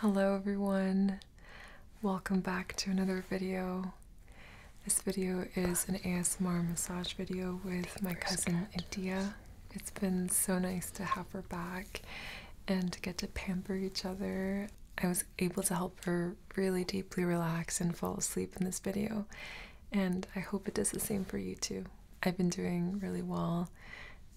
Hello everyone. Welcome back to another video. This video is an ASMR massage video with my cousin India. It's been so nice to have her back and to get to pamper each other. I was able to help her really deeply relax and fall asleep in this video and I hope it does the same for you too. I've been doing really well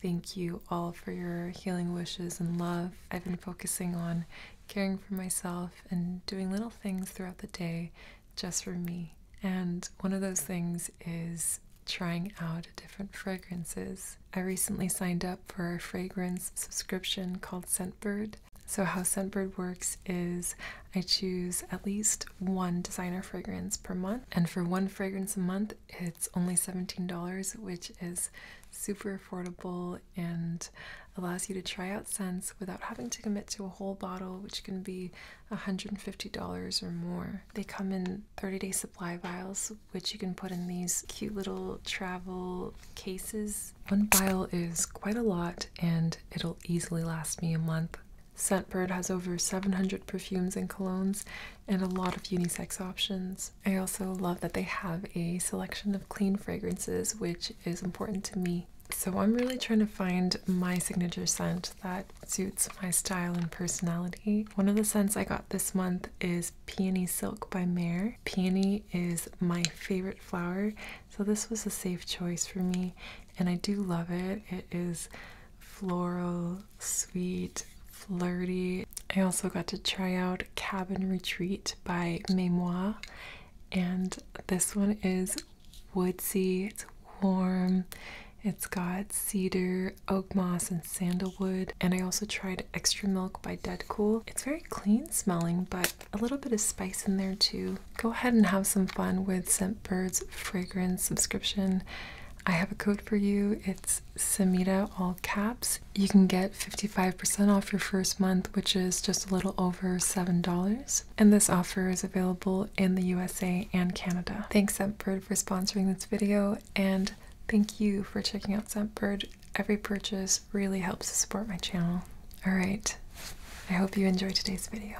Thank you all for your healing wishes and love. I've been focusing on caring for myself and doing little things throughout the day just for me. And one of those things is trying out different fragrances. I recently signed up for a fragrance subscription called Scentbird. So, how Scentbird works is I choose at least one designer fragrance per month, and for one fragrance a month, it's only $17, which is super affordable and allows you to try out scents without having to commit to a whole bottle, which can be $150 or more. They come in 30 day supply vials, which you can put in these cute little travel cases. One vial is quite a lot and it'll easily last me a month. Scentbird has over 700 perfumes and colognes, and a lot of unisex options. I also love that they have a selection of clean fragrances, which is important to me. So I'm really trying to find my signature scent that suits my style and personality. One of the scents I got this month is Peony Silk by Mare. Peony is my favorite flower, so this was a safe choice for me, and I do love it. It is floral sweet, flirty. I also got to try out Cabin Retreat by Memoir, and this one is woodsy, it's warm, it's got cedar, oak moss, and sandalwood. And I also tried Extra Milk by Dead Cool. It's very clean smelling, but a little bit of spice in there too. Go ahead and have some fun with Scentbird's fragrance subscription. I have a code for you. It's Samita, all caps. You can get 55% off your first month, which is just a little over $7. And this offer is available in the USA and Canada. Thanks, Scentbird, for sponsoring this video, and thank you for checking out Scentbird. Every purchase really helps to support my channel. All right, I hope you enjoyed today's video.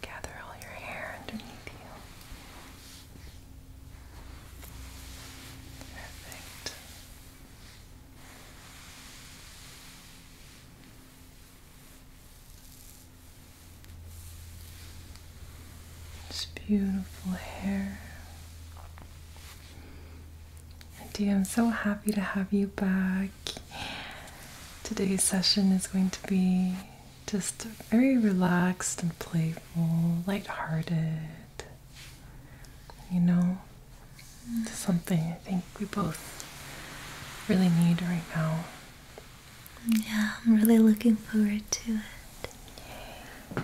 Gather all your hair underneath you. Perfect. This beautiful hair. Andy, I'm so happy to have you back. Today's session is going to be just very relaxed and playful, lighthearted. You know, something I think we both really need right now. Yeah, I'm really looking forward to it.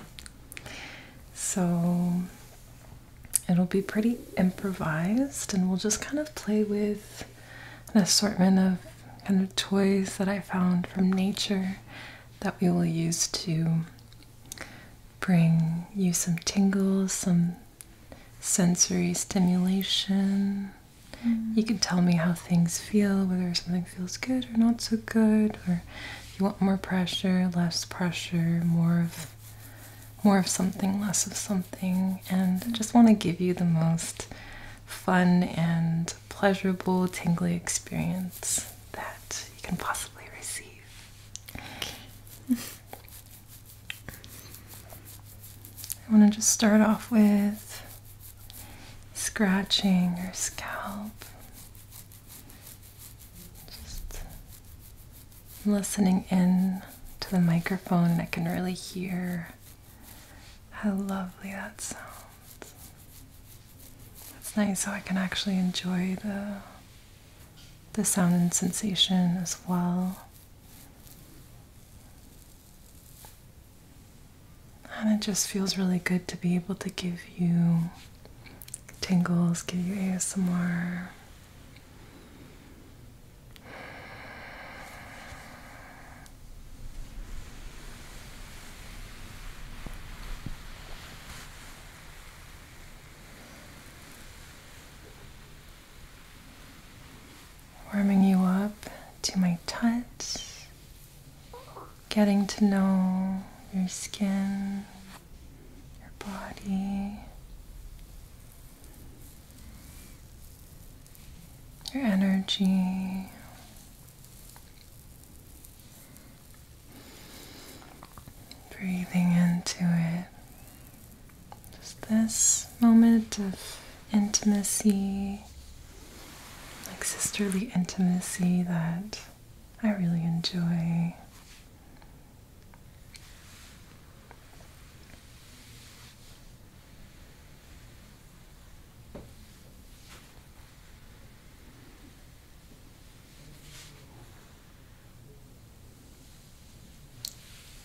So it'll be pretty improvised, and we'll just kind of play with an assortment of kind of toys that I found from nature that we will use to bring you some tingles, some sensory stimulation. Mm-hmm. You can tell me how things feel, whether something feels good or not so good, or you want more pressure, less pressure, more of more of something, less of something, and I just want to give you the most fun and pleasurable, tingly experience that you can possibly receive. I want to just start off with scratching your scalp. Just listening in to the microphone, I can really hear how lovely that sounds. It's nice, so I can actually enjoy the the sound and sensation as well. And it just feels really good to be able to give you tingles, give you ASMR. Warming you up to my touch, getting to know your skin, your body, your energy. Breathing into it. Just this moment of intimacy, like sisterly intimacy that I really enjoy.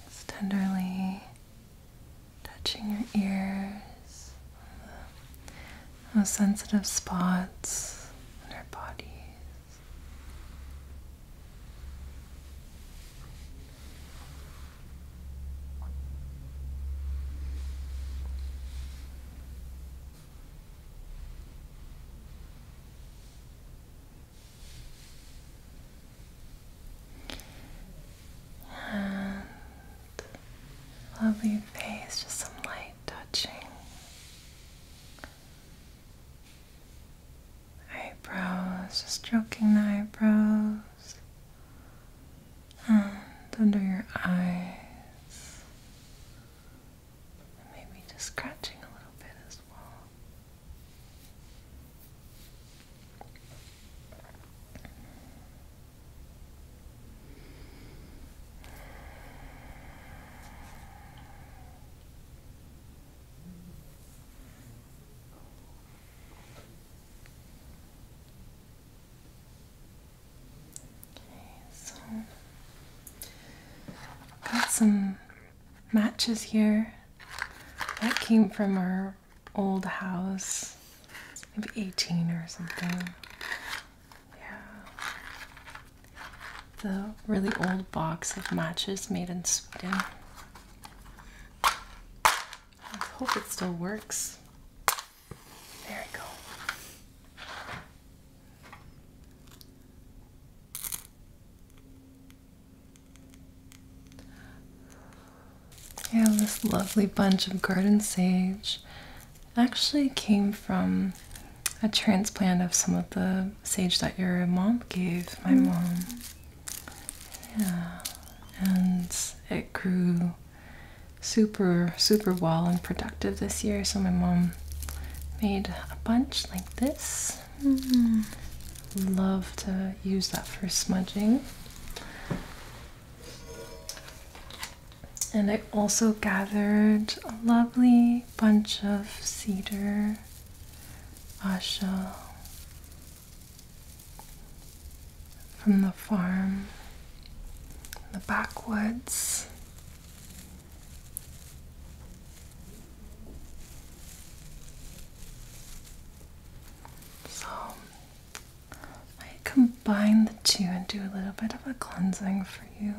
Just tenderly touching your ears, those sensitive spots in our bodies. And lovely face, just some light touching eyebrows, stroking the eyebrows and under your eyes, maybe just scratching a little bit as well so got some matches here that came from our old house maybe 18 or something yeah. The really old box of matches made in Sweden. I hope it still works. There we go. Yeah, this lovely bunch of garden sage actually came from a transplant of some of the sage that your mom gave my mm. mom. Yeah, and it grew super, super well and productive this year. So my mom made a bunch like this. Mm. Love to use that for smudging. And I also gathered a lovely bunch of cedar, asha from the farm, the backwoods. So I combine the two and do a little bit of a cleansing for you.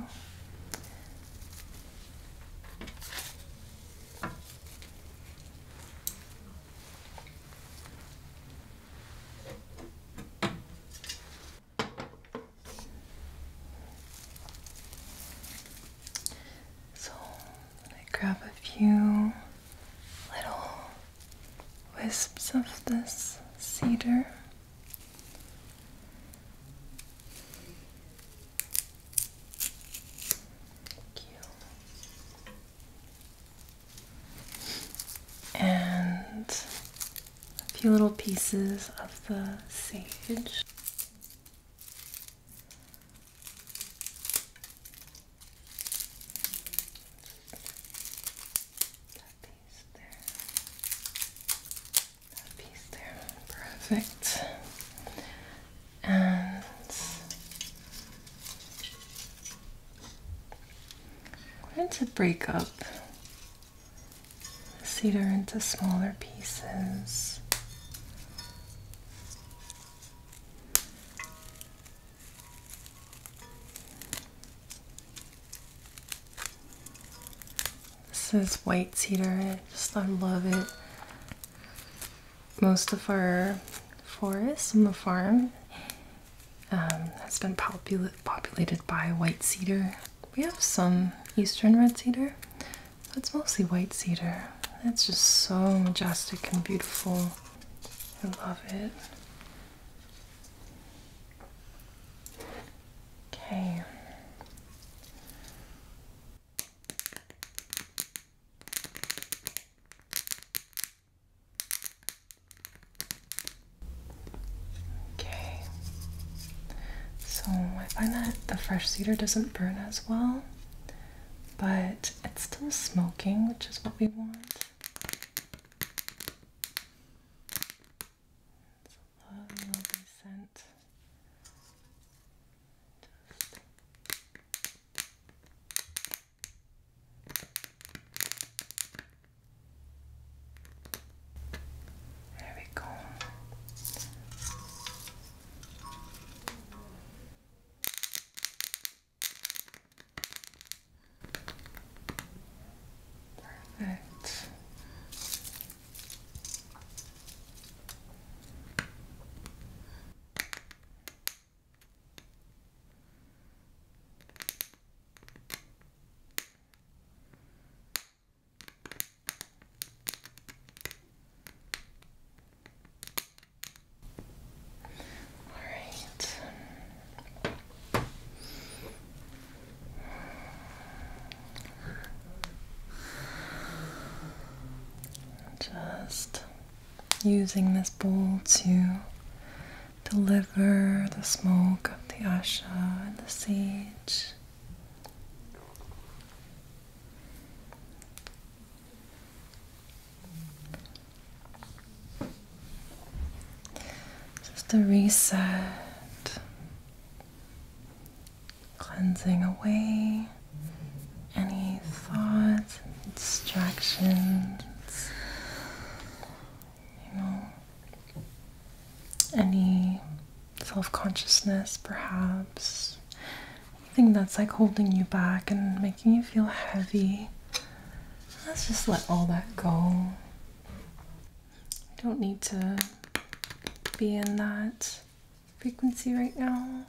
So, I grab a few little wisps of this cedar and a few little pieces of the sage piece there. That piece there. Perfect. And going to break up the cedar into smaller pieces. This is white cedar. I just I love it. Most of our forest on the farm um, has been populated by white cedar. We have some eastern red cedar, but it's mostly white cedar. It's just so majestic and beautiful. I love it. Okay. Okay. So I find that the fresh cedar doesn't burn as well, but it's still smoking, which is what we want. Oh, lovely scent. Just there we go. Perfect. All right. Just using this bowl to deliver the smoke of the asha and the sage. Just a reset, cleansing away any thoughts and distractions, you know, any self consciousness perhaps. Anything that's like holding you back and making you feel heavy. Let's just let all that go don't need to be in that frequency right now,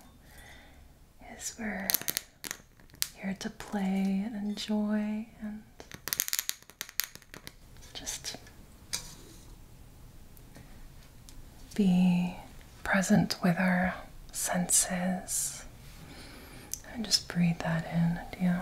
is we're here to play and enjoy and just be present with our senses and just breathe that in and yeah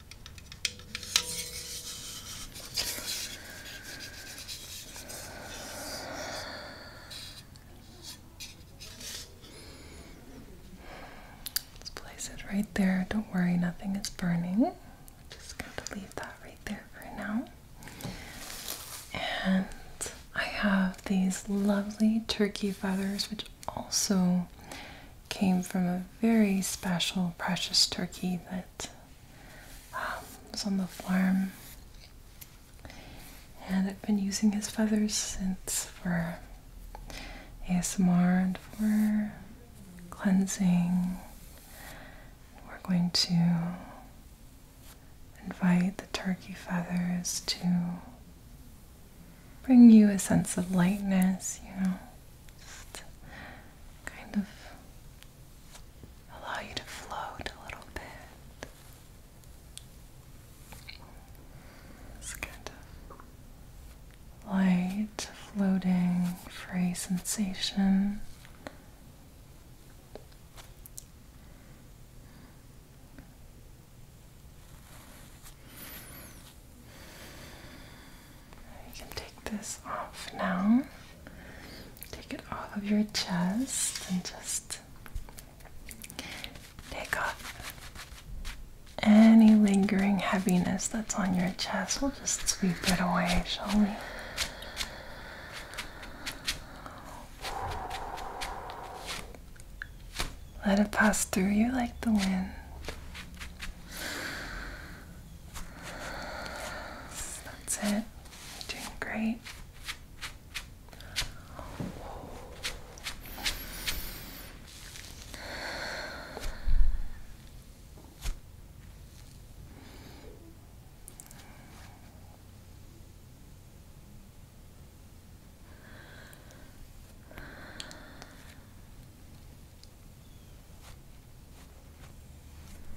Let's place it right there. Don't worry, nothing is burning. I'm just going to leave that right there for now. And I have these lovely turkey feathers, which also came from a very special, precious turkey that um, was on the farm. And I've been using his feathers since for ASMR and for cleansing. We're going to invite the turkey feathers to bring you a sense of lightness, you know. Just kind of allow you to float a little bit. It's kind of light, floating, free sensation. You can take this off now. Take it off of your chest and just take off any lingering heaviness that's on your chest. We'll just sweep it away, shall we? Let it pass through you like the wind. That's it. You're doing great.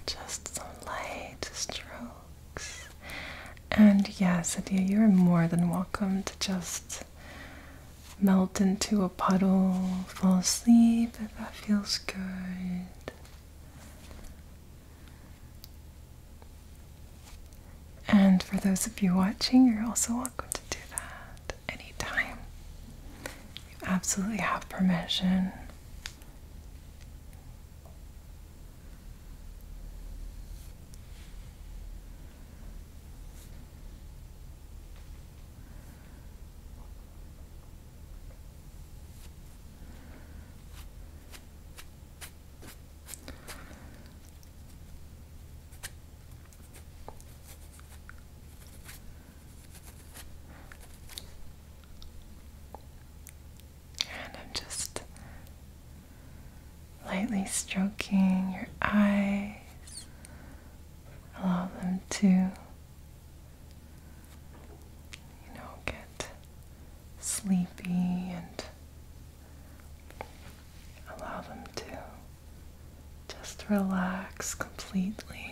Just some light strokes. And yes, Adia, you're more than welcome to just melt into a puddle, fall asleep if that feels good. And for those of you watching, you're also welcome to do that any time. You absolutely have permission. And I'm just lightly stroking your eyes. Allow them to, you know, get sleepy and allow them to just relax completely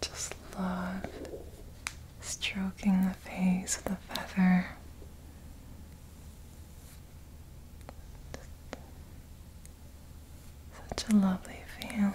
just love stroking the face with a feather. Such a lovely feeling.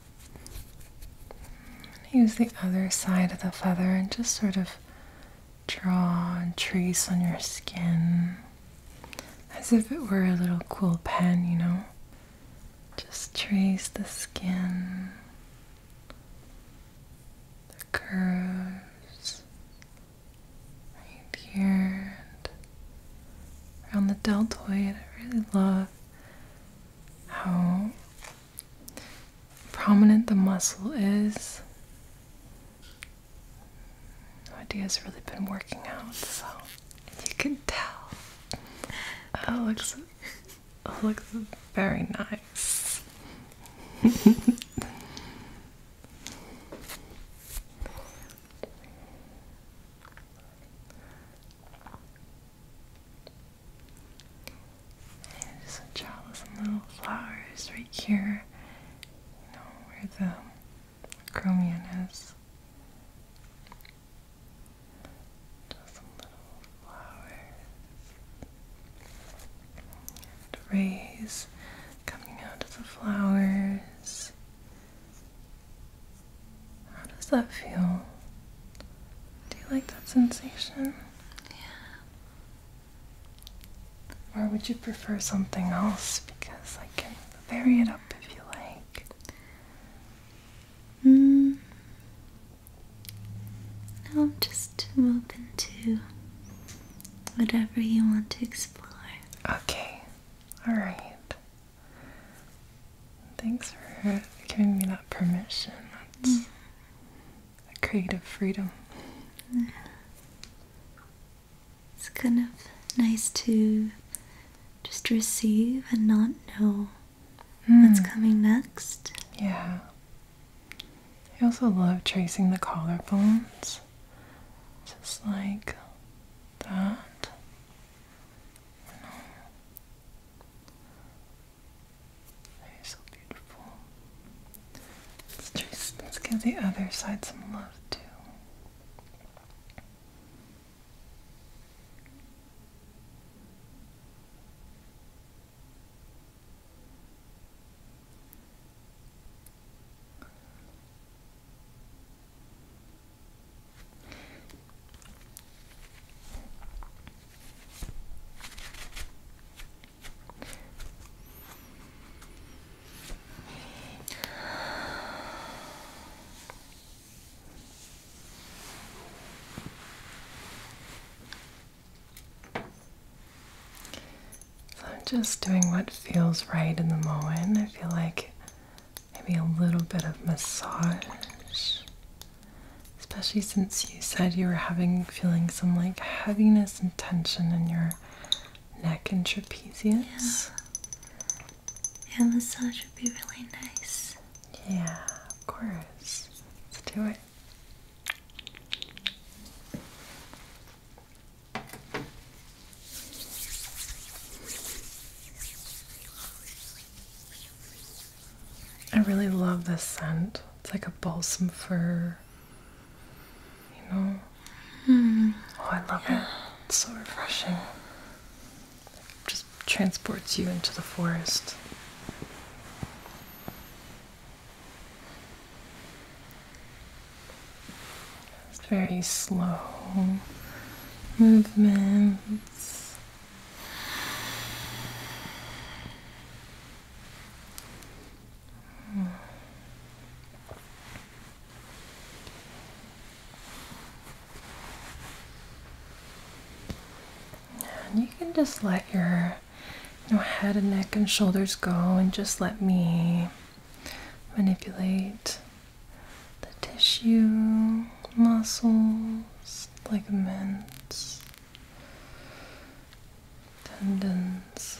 Use the other side of the feather and just sort of draw and trace on your skin as if it were a little cool pen, you know. Just trace the skin, the curves right here and around the deltoid. I really love how prominent the muscle is. No idea has really been working out, so you can tell. Oh, looks, looks very nice. And there's chalice and little flowers right here, you know, where the chromium is. Just some little flowers. rays coming out of the flowers. How does that feel? Do you like that sensation? Yeah. Or would you prefer something else? Because I can vary it up if you like. Mm. I'm just open to whatever you want to explore. Okay. Alright. Thanks for giving me that permission creative freedom. It's kind of nice to just receive and not know what's hmm. coming next. Yeah. I also love tracing the collarbones. Just like that. They're so beautiful. let's give the other side some love too. So I'm just doing what feels right in the moment. I feel like maybe a little bit of massage especially since you said you were having feeling some like heaviness and tension in your neck and trapezius. Yeah, yeah massage would be really nice. Yeah, of course. Let's do it. I really love this scent. It's like a balsam fir. You know? Hmm. Oh, I love it. It's so refreshing. It just transports you into the forest. It's very slow movements you can just let your you know, head and neck and shoulders go and just let me manipulate the tissue, muscles, ligaments tendons.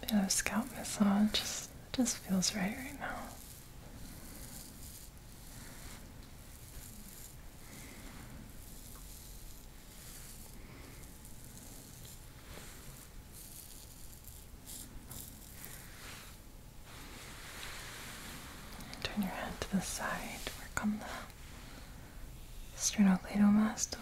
A bit of scalp massage just feels right right now. Turn your head to the side, work on the sternocleidomastoid.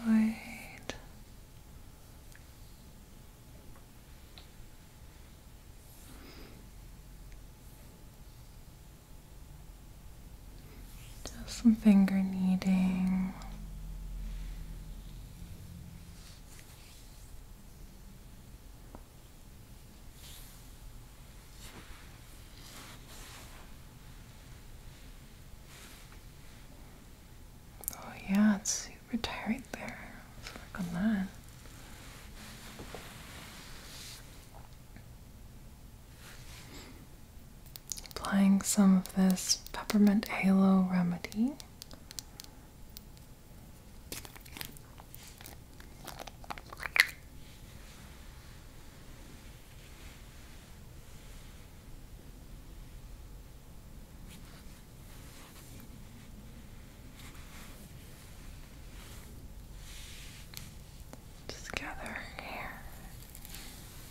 Just some finger kneading. Oh yeah, it's super tired there. Let's work on that. Applying some of this peppermint halo remedy. Just gather here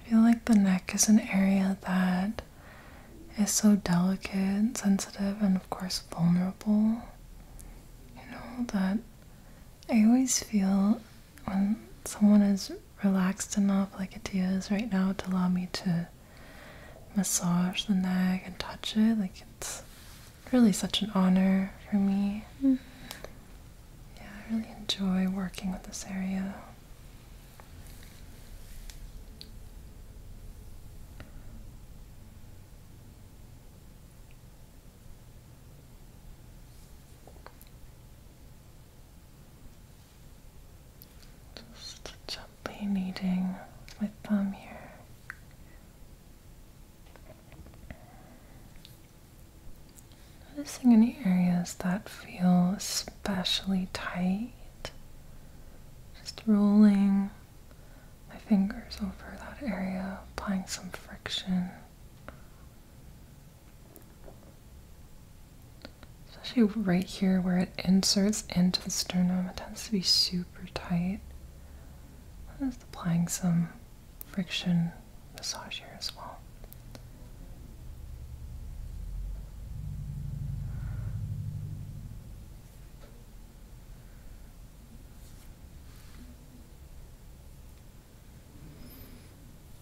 I feel like the neck is an area that is so delicate sensitive and of course vulnerable. You know that I always feel when someone is relaxed enough, like Adia is right now, to allow me to massage the neck and touch it, like it's really such an honor for me. Mm-hmm. Yeah, I really enjoy working with this area. Just gently kneading my thumb here. Noticing any areas that feel especially tight. Just rolling my fingers over that area, applying some friction. Especially right here where it inserts into the sternum, it tends to be super tight. I'm just applying some friction massage here as well.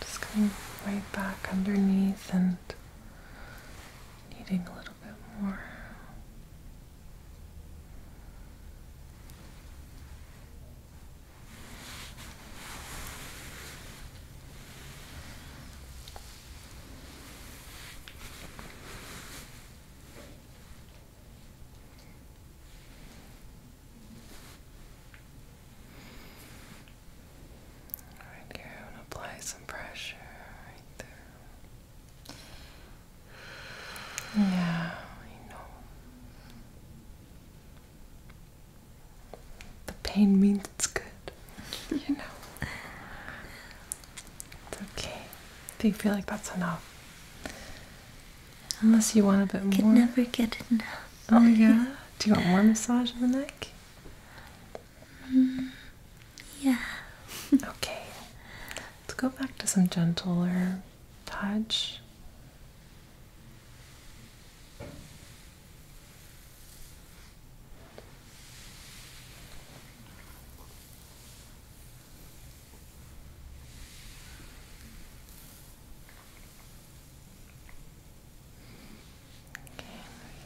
Just coming right back underneath and needing a little bit more. Right here, I'm gonna apply some pressure right there. Yeah, I know the pain means it's good, you know. It's okay. Do you feel like that's enough? Unless you want a bit I could more. Could never get oh enough. Oh yeah. Do you want more massage on the neck? Mm, yeah. okay. Let's go back to some gentler touch.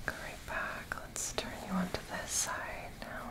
Okay, back. Let's turn you onto this side now.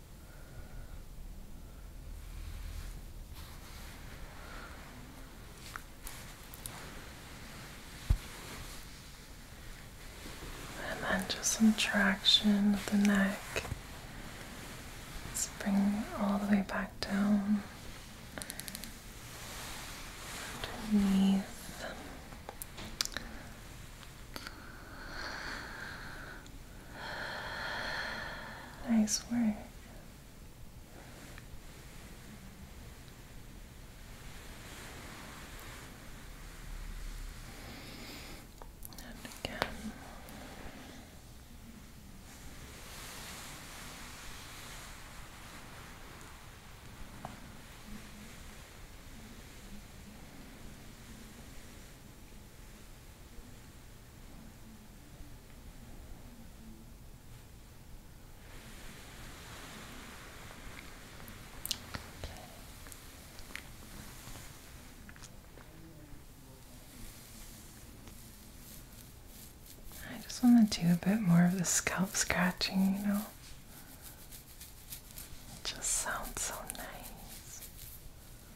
And then just some traction of the neck. Let's bring all the way back down underneath. Nice work. And again. I just want to do a bit more of the scalp scratching, you know. It just sounds so nice.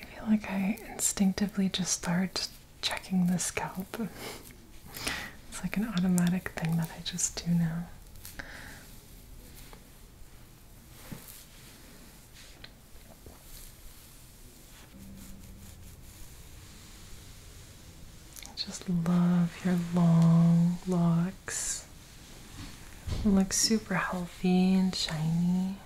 I feel like I instinctively just start checking the scalp. it's like an automatic thing that I just do now. I just love your long locks. It looks super healthy and shiny.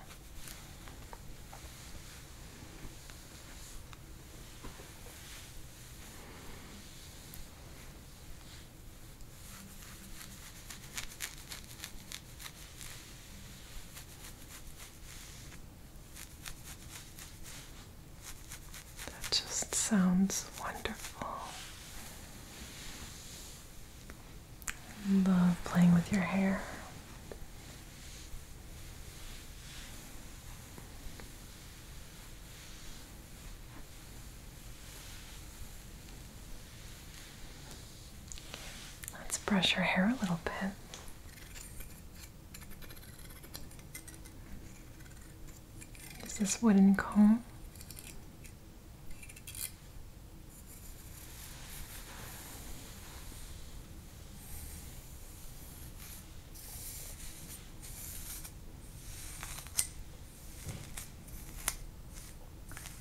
That just sounds wonderful. Love playing with your hair. Let's brush your hair a little bit. Is this wooden comb?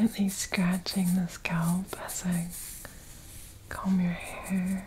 Lightly scratching the scalp as I comb your hair.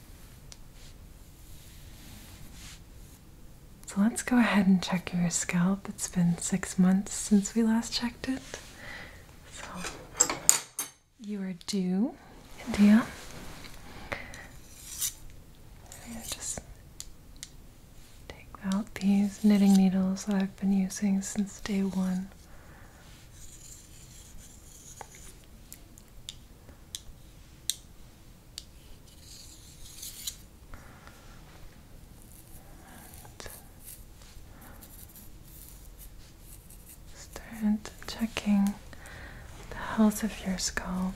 So let's go ahead and check your scalp. It's been six months since we last checked it. So you are due, India. Just take out these knitting needles that I've been using since day one start checking the health of your scalp.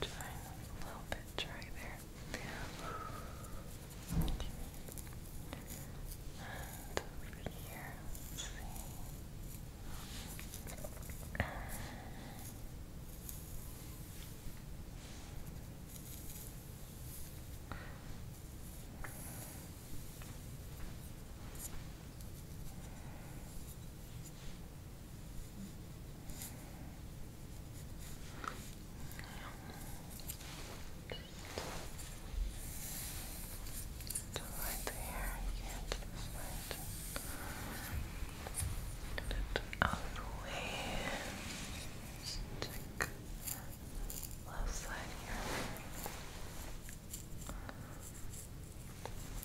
Trying a little bit dry there. And over here, to light the hair, you can light out of the way. Stick left side here.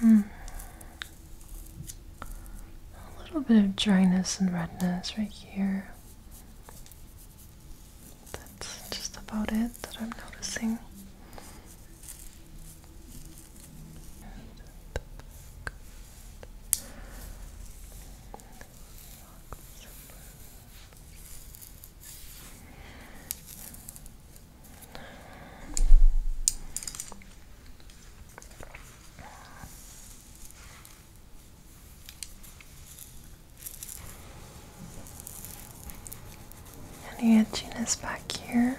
Hmm. A little bit of dryness and redness right here. That's just about it that I'm noticing. Any edginess back here?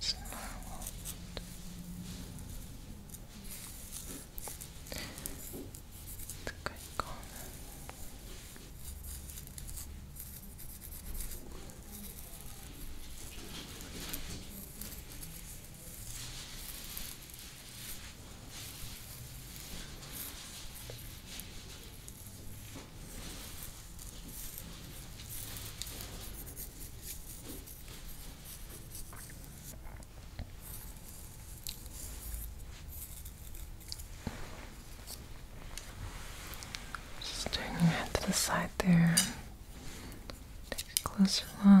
snarled. It's a good Good. Just turn your head to the side there. Take a closer look.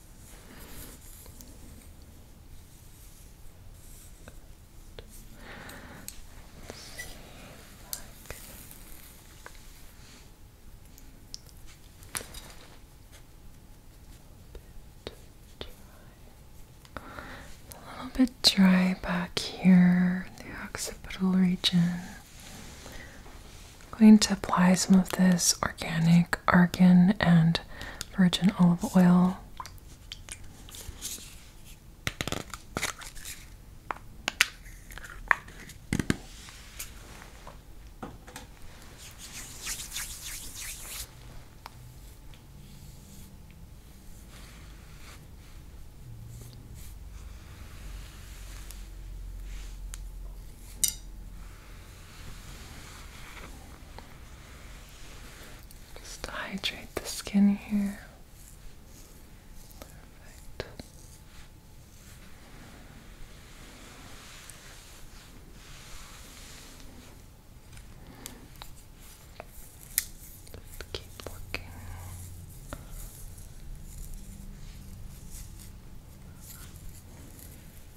A little bit dry back here in the occipital region. I'm going to apply some of this organic argan and virgin olive oil. Just hydrate the skin here. Perfect. Just keep working.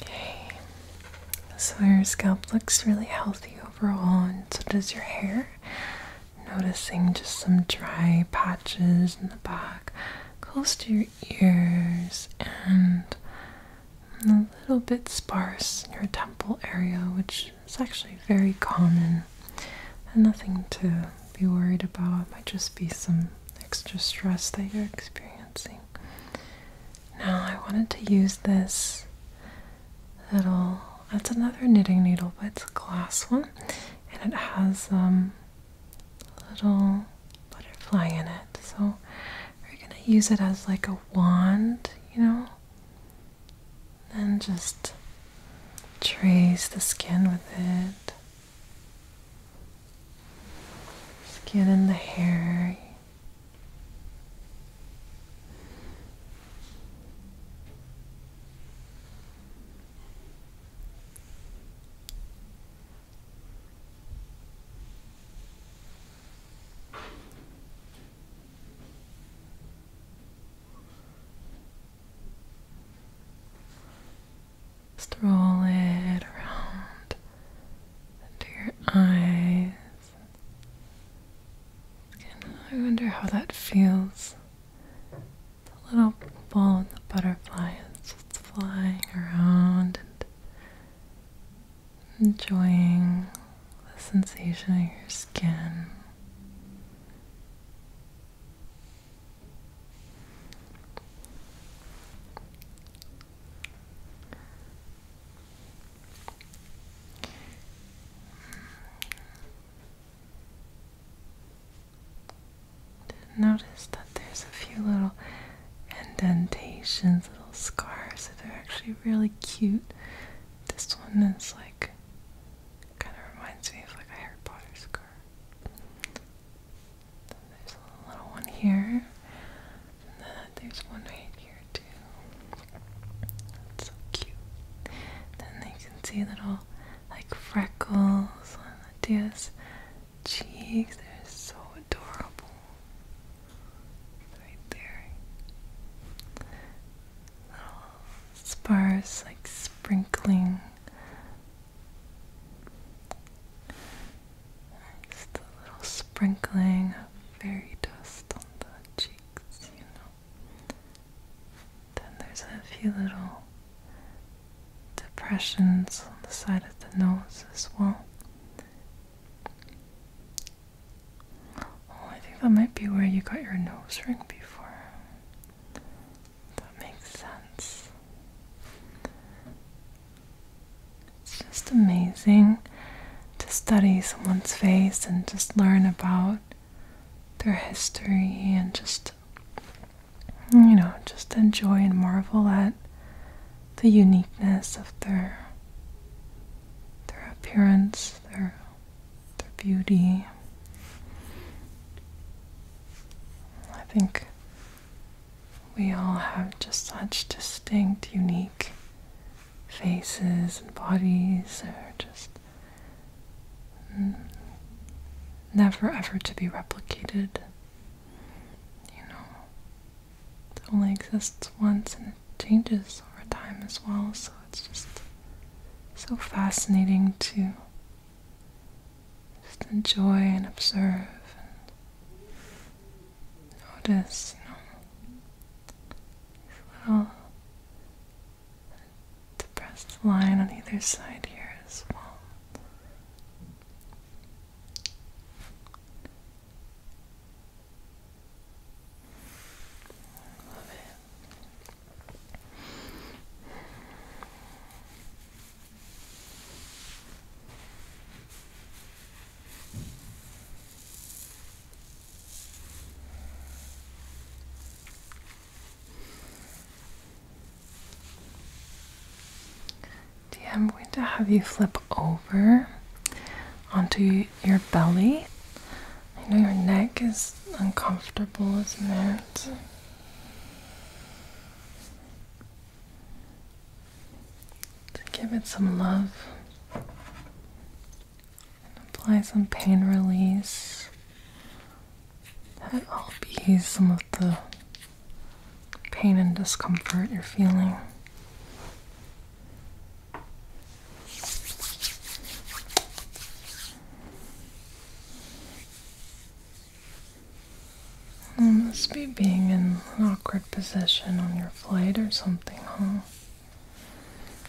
Okay, so your scalp looks really healthy overall, and so does your hair. Noticing just some dry patches in the back, close to your ears, and a little bit sparse in your temple area, which is actually very common and nothing to be worried about. might just be some extra stress that you're experiencing. Now, I wanted to use this little that's another knitting needle, but it's a glass one, and it has um, a little butterfly in it. So we're gonna use it as like a wand, you know, and just trace the skin with it, skin and the hair. Just it around into your eyes. I wonder how that feels the little ball and the butterfly is just flying around enjoying the sensation of your skin. Notice that there's a few little indentations, little scars that are actually really cute. This one is like kind of reminds me of like a Harry Potter scar. Then there's a little one here, and then there's one right here too. It's so cute. Then you can see little like freckles on the Latia's cheeks. They're so adorable. Right there. Little sparse like sprinkling. Just a little sprinkling of fairy dust on the cheeks, you know. Then there's a few little depressions on the side of the nose as well. Oh, I think that might be where you got your nose ring before. That makes sense. It's just amazing to study someone's face and just learn about their history and just you know just enjoy and marvel at the uniqueness of their their appearance their their beauty I think we all have just such distinct unique faces and bodies They're just Mm. never ever to be replicated. You know, it only exists once and it changes over time as well, so it's just so fascinating to just enjoy and observe and notice, you know, these little to press line on either side here as well. Love it. Okay, I'm going to have you flip over onto your belly. I know your neck is uncomfortable, isn't it? To give it some love apply some pain relief. That will ease some of the pain and discomfort you're feeling. must be being in an awkward position on your flight or something, huh?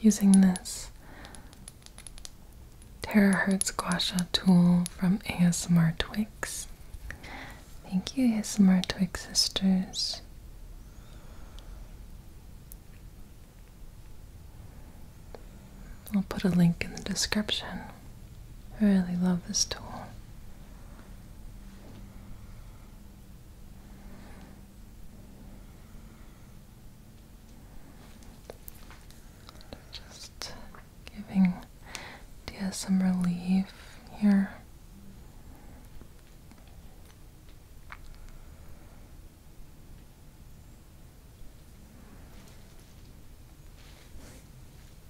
Using this terahertz guasha tool from ASMR Twix. Thank you, ASMR Twix sisters. I'll put a link in the description. I really love this tool. Just giving Dia some relief here.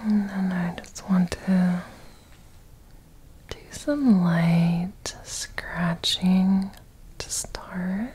And I just want to do some light scratching to start.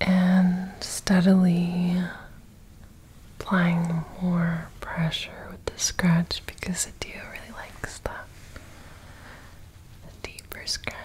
And steadily applying more pressure with the scratch because the deer really likes The deeper scratches.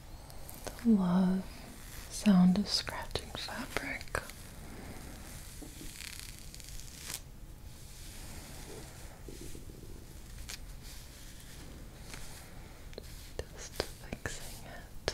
the love sound of scratching fabric. Just fixing it.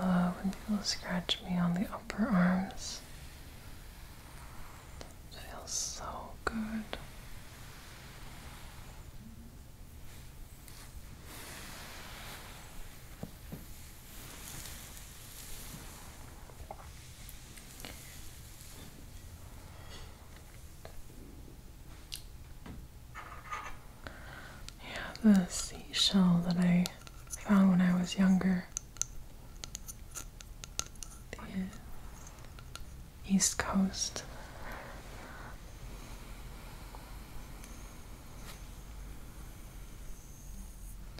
I love when people scratch me on the upper arms. It feels so good. Yeah, the seashell that I found when I was younger. The East Coast.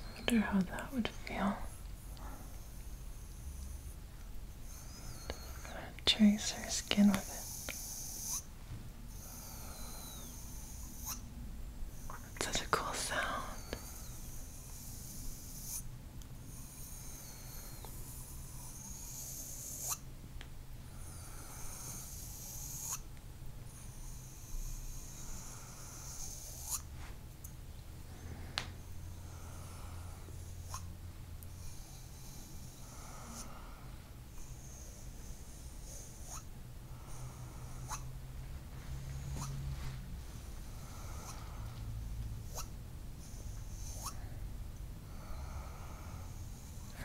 I wonder how that would feel. trace her skin with it. It's such a cool sound.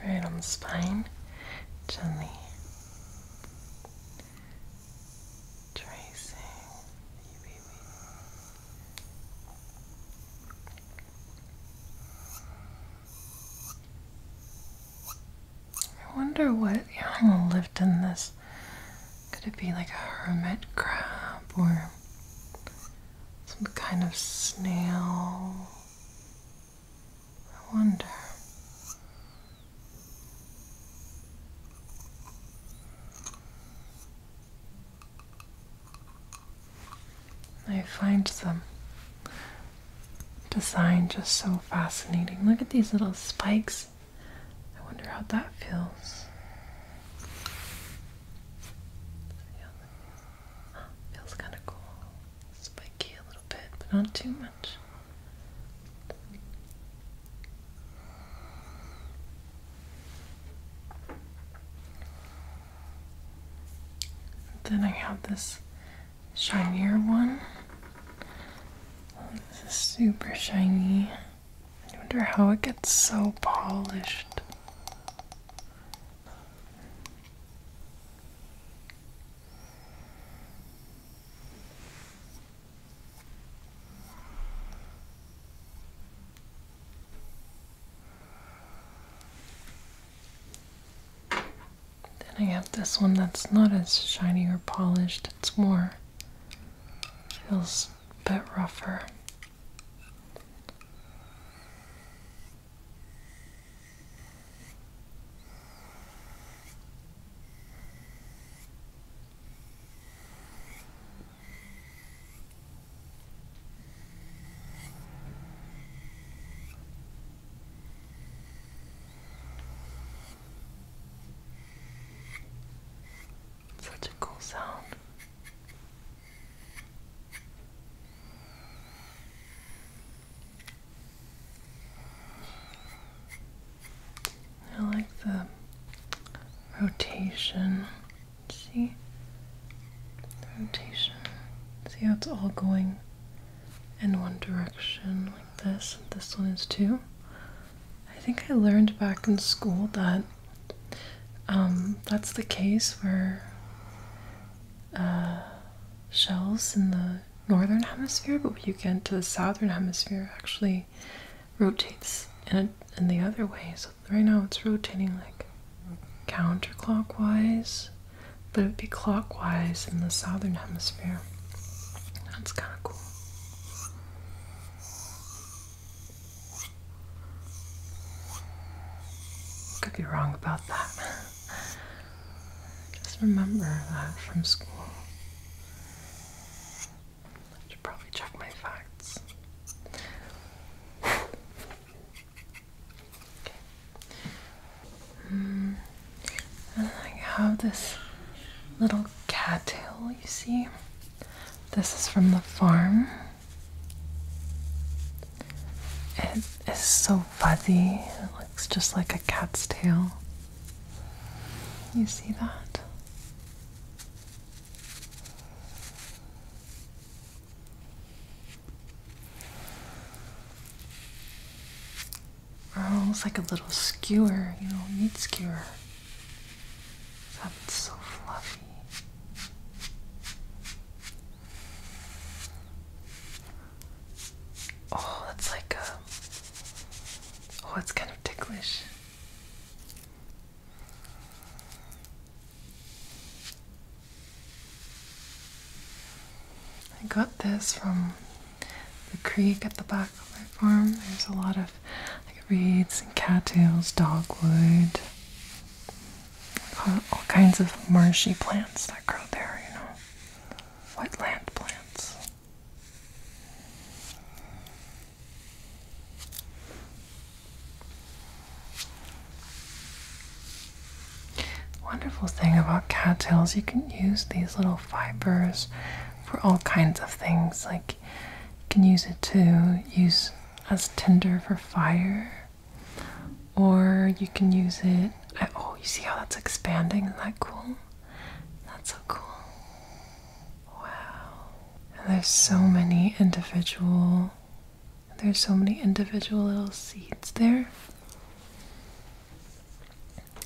Right on the spine, gently Tracing I wonder what animal lived in this. Could it be like a hermit crab or some kind of snail? I wonder. I find some design just so fascinating. Look at these little spikes. I wonder how that feels. Feels kind of cool. Spiky a little bit, but not too much. Then I have this shinier one. This is super shiny. I wonder how it gets so polished. Then I have this one that's not as shiny or polished, it's more feels a bit rougher. Such a cool sound. I like the rotation. See? The rotation. See how it's all going in one direction like this. This one is too. I think I learned back in school that um, that's the case where uh, shells in the northern hemisphere, but when you get to the southern hemisphere, actually rotates in, in the other way. So right now it's rotating like counterclockwise, but it would be clockwise in the southern hemisphere. That's kind of cool. Could be wrong about that. Just remember that from school. I should probably check my facts. okay. Mm, I have this little cat tail. you see. This is from the farm. It is so fuzzy. It looks just like a cat's tail. You see that? Or almost like a little skewer, you know, meat skewer. That's so fluffy. Oh, that's like uh, Oh, it's kind of ticklish. I got this from the creek at the back of my farm. There's a lot of reeds and cattails, dogwood, all, all kinds of marshy plants that grow there, you know. Wetland plants. Wonderful thing about cattails, you can use these little fibers for all kinds of things. Like you can use it to use as tinder for fire, or you can use it. Oh, you see how that's expanding? Isn't that cool? That's so cool. Wow. And there's so many individual there's so many individual little seeds there.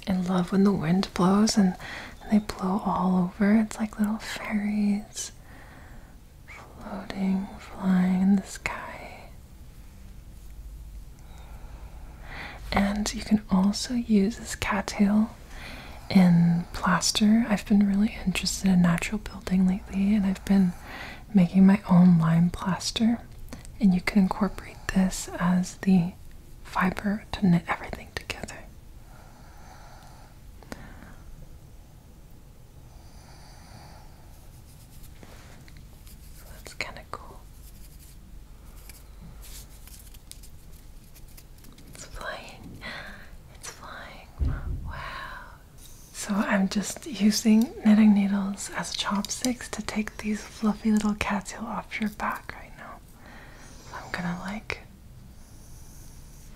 I love when the wind blows and, and they blow all over. It's like little fairies floating, flying in the sky. And you can also use this cattail in plaster. I've been really interested in natural building lately, and I've been making my own lime plaster. And you can incorporate this as the fiber to knit everything together. So that's kind it's flying. It's flying. Wow. So I'm just using knitting needles as chopsticks to take these fluffy little cattail off your back right now. I'm gonna like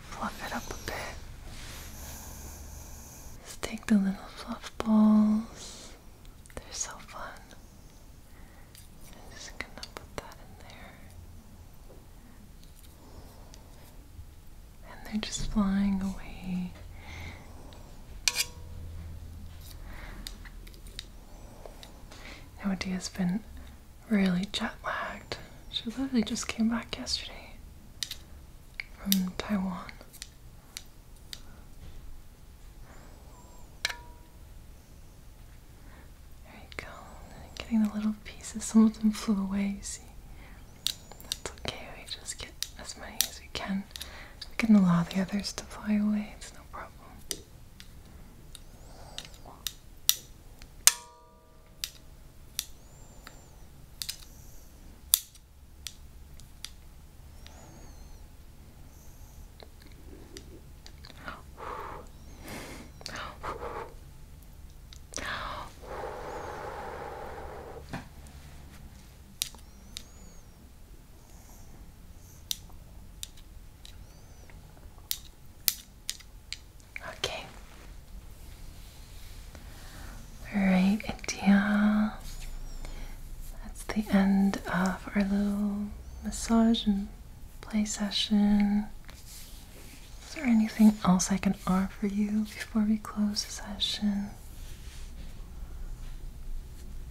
fluff it up a bit. Just take the little fluff balls they're so fun. just gonna put that in there. And they're just flying away. No idea has been really jet lagged. She literally just came back yesterday from Taiwan. There you go. getting the little pieces. Some of them flew away, you see. That's okay, we just get as many as we can. We can allow the others to fly away, it's no problem. Okay. All right, India. That's the end of our little massage and play session. Is there anything else I can offer you before we close the session?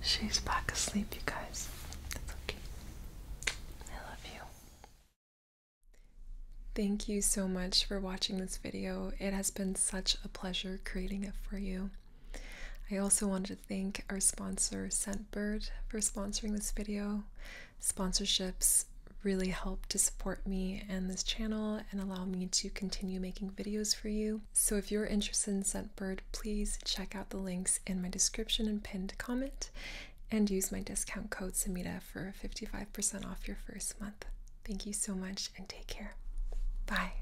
She's back asleep, you guys. It's okay. I love you. Thank you so much for watching this video. It has been such a pleasure creating it for you. I also wanted to thank our sponsor, Scentbird, for sponsoring this video. Sponsorships really help to support me and this channel and allow me to continue making videos for you. So if you're interested in Scentbird, please check out the links in my description and pinned comment and use my discount code Samita for 55% off your first month. Thank you so much and take care. Bye.